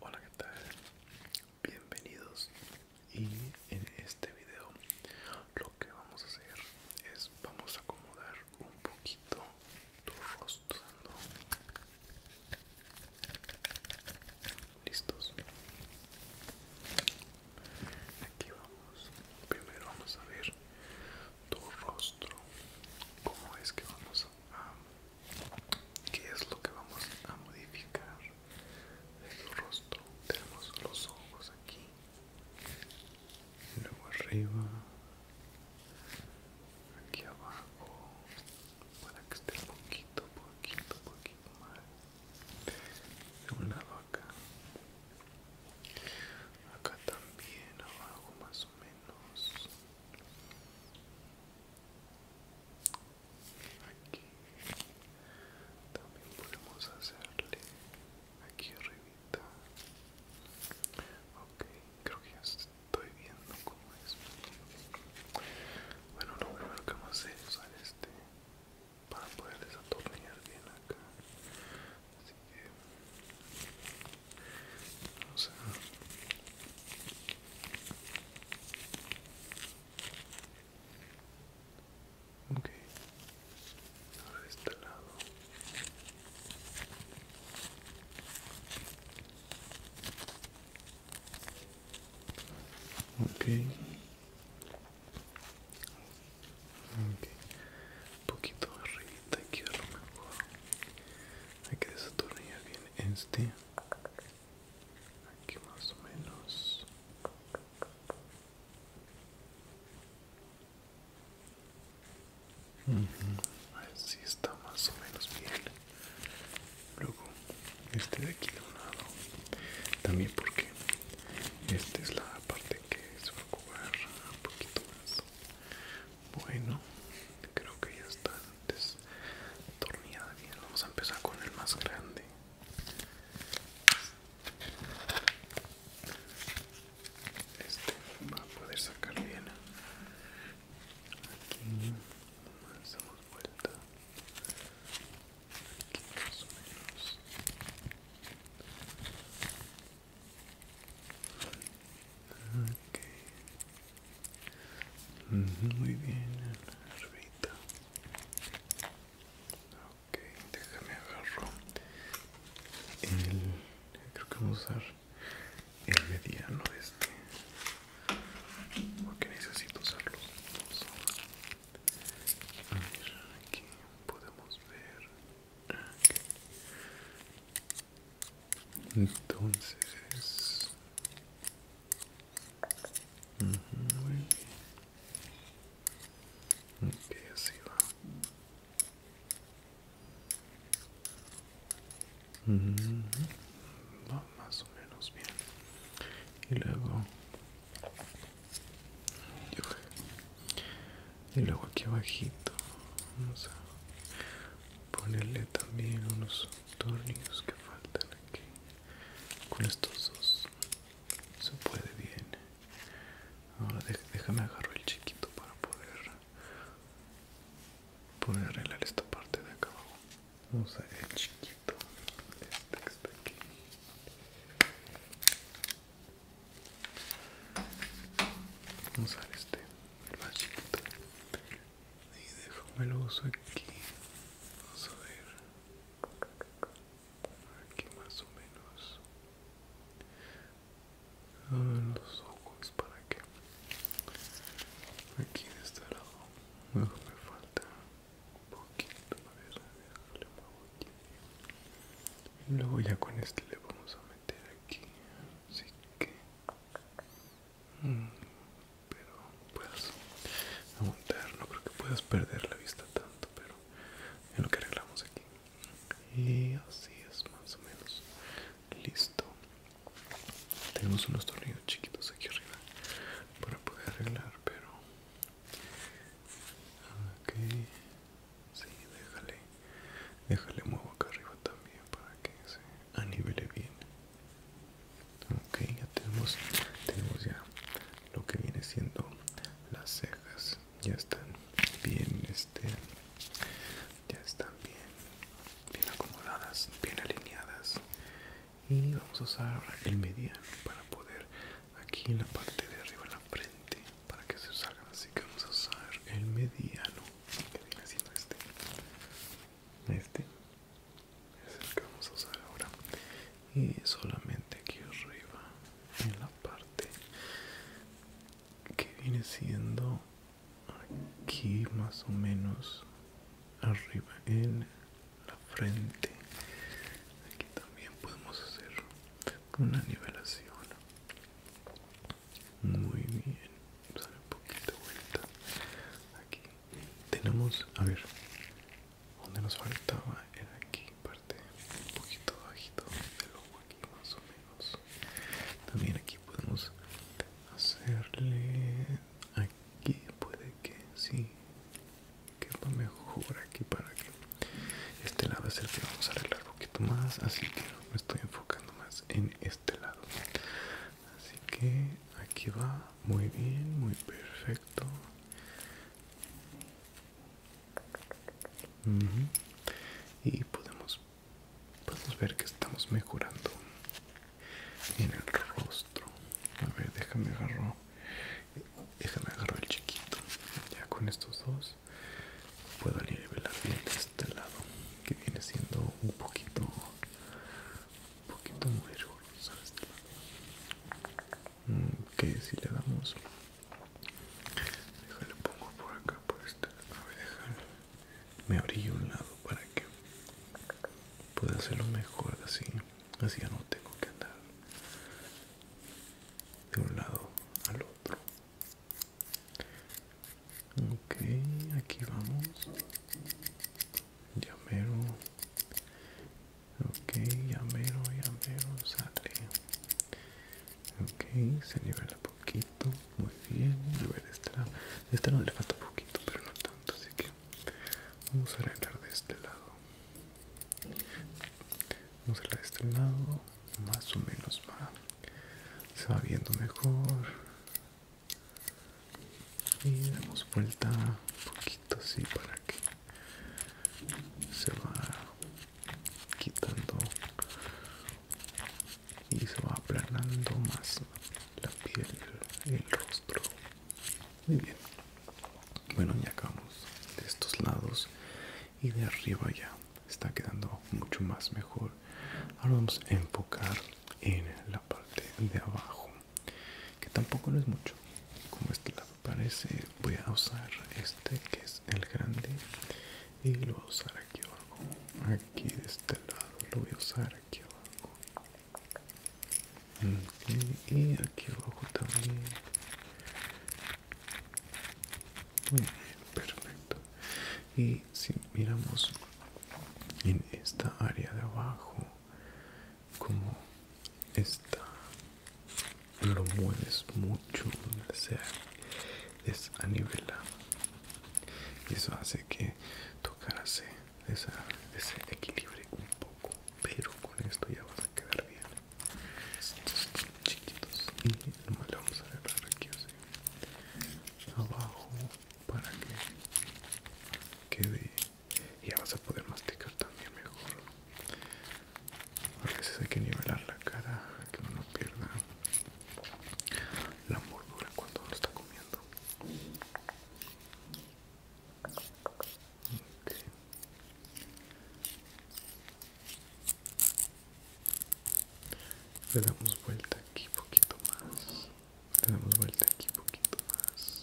Hola, ¿qué tal? Bienvenidos. Y en este video lo que vamos a hacer es vamos a acomodar un poquito tu rostro. Listos. Aquí vamos. Primero vamos a ver tu rostro. ¿Cómo es que vamos a que qué es lo que vamos a modificar de su rostro tenemos los ojos aquí luego arriba aquí abajo para que esté un poquito poquito poquito más de un lado acá acá también abajo más o menos aquí también podemos hacerle aquí arribita ok creo que ya estoy viendo cómo es bueno lo primero que vamos a hacer es usar este para poder desatornillar bien acá así que o ok, ahora de este lado. Okay. ok, un poquito arriba aquí a lo mejor hay que desatornillar bien este aquí más o menos así está más o menos bien luego este de aquí de un lado también porque esta es la parte que se va a jugar un poquito más bueno creo que ya está es torneada bien vamos a empezar con el más grande este va a poder sacar bien aquí más damos vuelta aquí más o menos muy bien, Arbita. Ok, déjame agarro. El, creo que vamos a usar el mediano este. Porque necesito usarlo. Vamos a, ver, aquí podemos ver. Entonces, uh así va. Va más o menos bien. Y luego, yo y luego aquí abajito vamos a ponerle también unos tornillos que faltan aquí con estos dos se puede bien ahora déjame agarrar el chiquito para poder poder arreglar esta parte de acá abajo vamos a el chiquito este que está aquí vamos a ver este el vasito y déjame lo uso aquí vamos a ver aquí más o menos los ojos para que aquí de este lado luego me falta un poquito a ver un y luego ya con este le vamos a meter aquí que pero puedas aguantar no creo que puedas perder la vista tanto pero en lo que arreglamos aquí y así es más o menos listo tenemos unos tornillos chiquitos aquí arriba para poder arreglar pero ok Sí, déjale. Déjale muevo acá arriba también para que se anivele bien. Ok, ya tenemos, tenemos ya lo que viene siendo las cejas. Ya están bien, este, ya están bien, bien acomodadas, bien alineadas. Y vamos a usar el mediano para poder aquí en la parte de arriba, la frente, para que se salgan así que vamos a usar el mediano que viene siendo este este es el que vamos a usar ahora y solamente aquí arriba en la parte que viene siendo aquí más o menos arriba en la frente aquí también podemos hacer una nivelación muy bien sale un poquito vuelta aquí tenemos a ver donde nos faltaba era aquí parte un poquito bajito del ojo aquí más o menos también aquí podemos hacerle aquí puede que sí quepa mejor aquí para que este lado es el que vamos a arreglar un poquito más, así que me estoy enfocando más en este lado. Así que aquí va, muy bien, muy perfecto. Y podemos, podemos ver que estamos mejorando en el rostro. A ver, déjame agarrar déjame el chiquito. Ya con estos dos puedo nivelar bien este lado que viene siendo un poquito un poquito muy riguroso este lado que si le damos déjale pongo por acá por este a me abrillo un lado para que pueda hacerlo mejor así así ya no tengo que andar de un lado al otro ok aquí vamos llamero ok llamero llamero sale ok se nivela poquito muy bien a ver esta esta no le falta poquito pero no tanto así que vamos a arreglar de este lado vamos a arreglar de este lado más o menos va se va viendo mejor y damos vuelta un poquito así para que se va quitando y se va aplanando más la piel el rostro muy bien bueno ya acabamos de estos lados y de arriba ya está quedando mucho más mejor ahora vamos a enfocar en la parte de abajo que tampoco no es mucho como este lado parece voy a usar este que es el grande y lo voy a usar aquí abajo aquí de este lado lo voy a usar aquí abajo y aquí abajo también muy bien, perfecto. Y si miramos en esta área de abajo, como está, lo mueves mucho, o sea, es a nivelado eso hace que tocarse ese equilibrio un poco, pero con esto ya vas a quedar bien estos chiquitos y lo vamos a agarrar aquí así abajo para que quede y ya vas a poder masticar también mejor a veces hay que nivelar la cara que uno no pierda la mordura cuando uno está comiendo le damos vuelta aquí poquito más. Le damos vuelta aquí poquito más.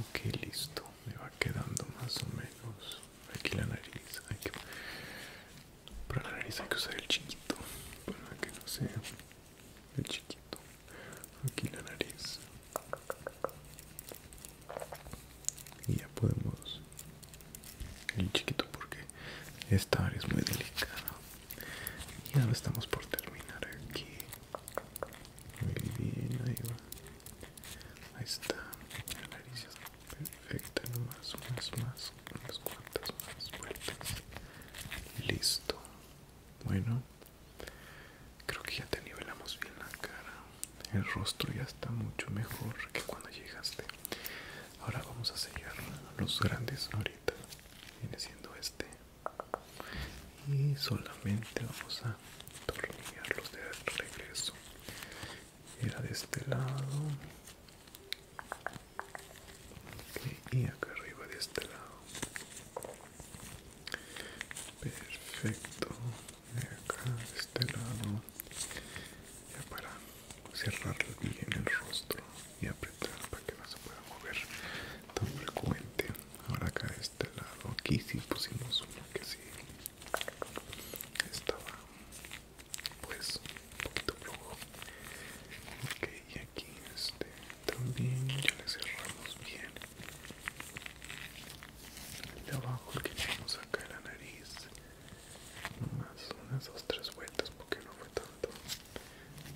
Ok, listo. Me va quedando más o menos. Aquí la nariz. Para la nariz hay que usar el chiquito. Para que no sea el chiquito aquí la nariz y ya podemos el chiquito porque esta área es muy delicada y ahora estamos por terminar aquí muy bien ahí va ahí está la nariz está perfecta unas más unas cuantas más vueltas listo bueno Creo que ya te nivelamos bien la cara. El rostro ya está mucho mejor que cuando llegaste. Ahora vamos a sellar los grandes ahorita. Viene siendo este. Y solamente vamos a tornillarlos de regreso. Era de este lado. Y acá arriba de este lado perfecto acá de este lado ya para cerrar bien el rostro y apretar para que no se pueda mover tan frecuente ahora acá de este lado aquí si pusimos uno que sí estaba pues un poquito flojo ok y aquí este también ya le cerramos bien de abajo que tenemos acá en la nariz más unas dos tres vueltas porque no fue tanto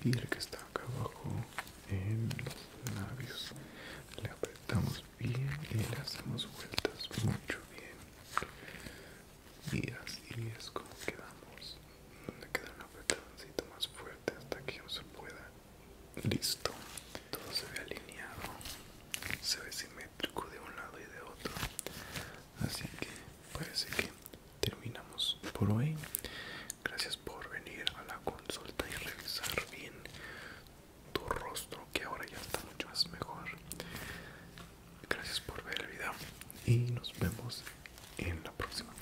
y el que está acá abajo en los labios le apretamos bien y le hacemos vueltas mucho bien y así es como quedamos donde queda un apretadito más fuerte hasta que no se pueda Listo, todo se ve alineado, se ve simétrico de un lado y de otro. Así que parece que terminamos por hoy. Gracias por venir a la consulta y revisar bien tu rostro que ahora ya está mucho más mejor. Gracias por ver el video y nos vemos en la próxima.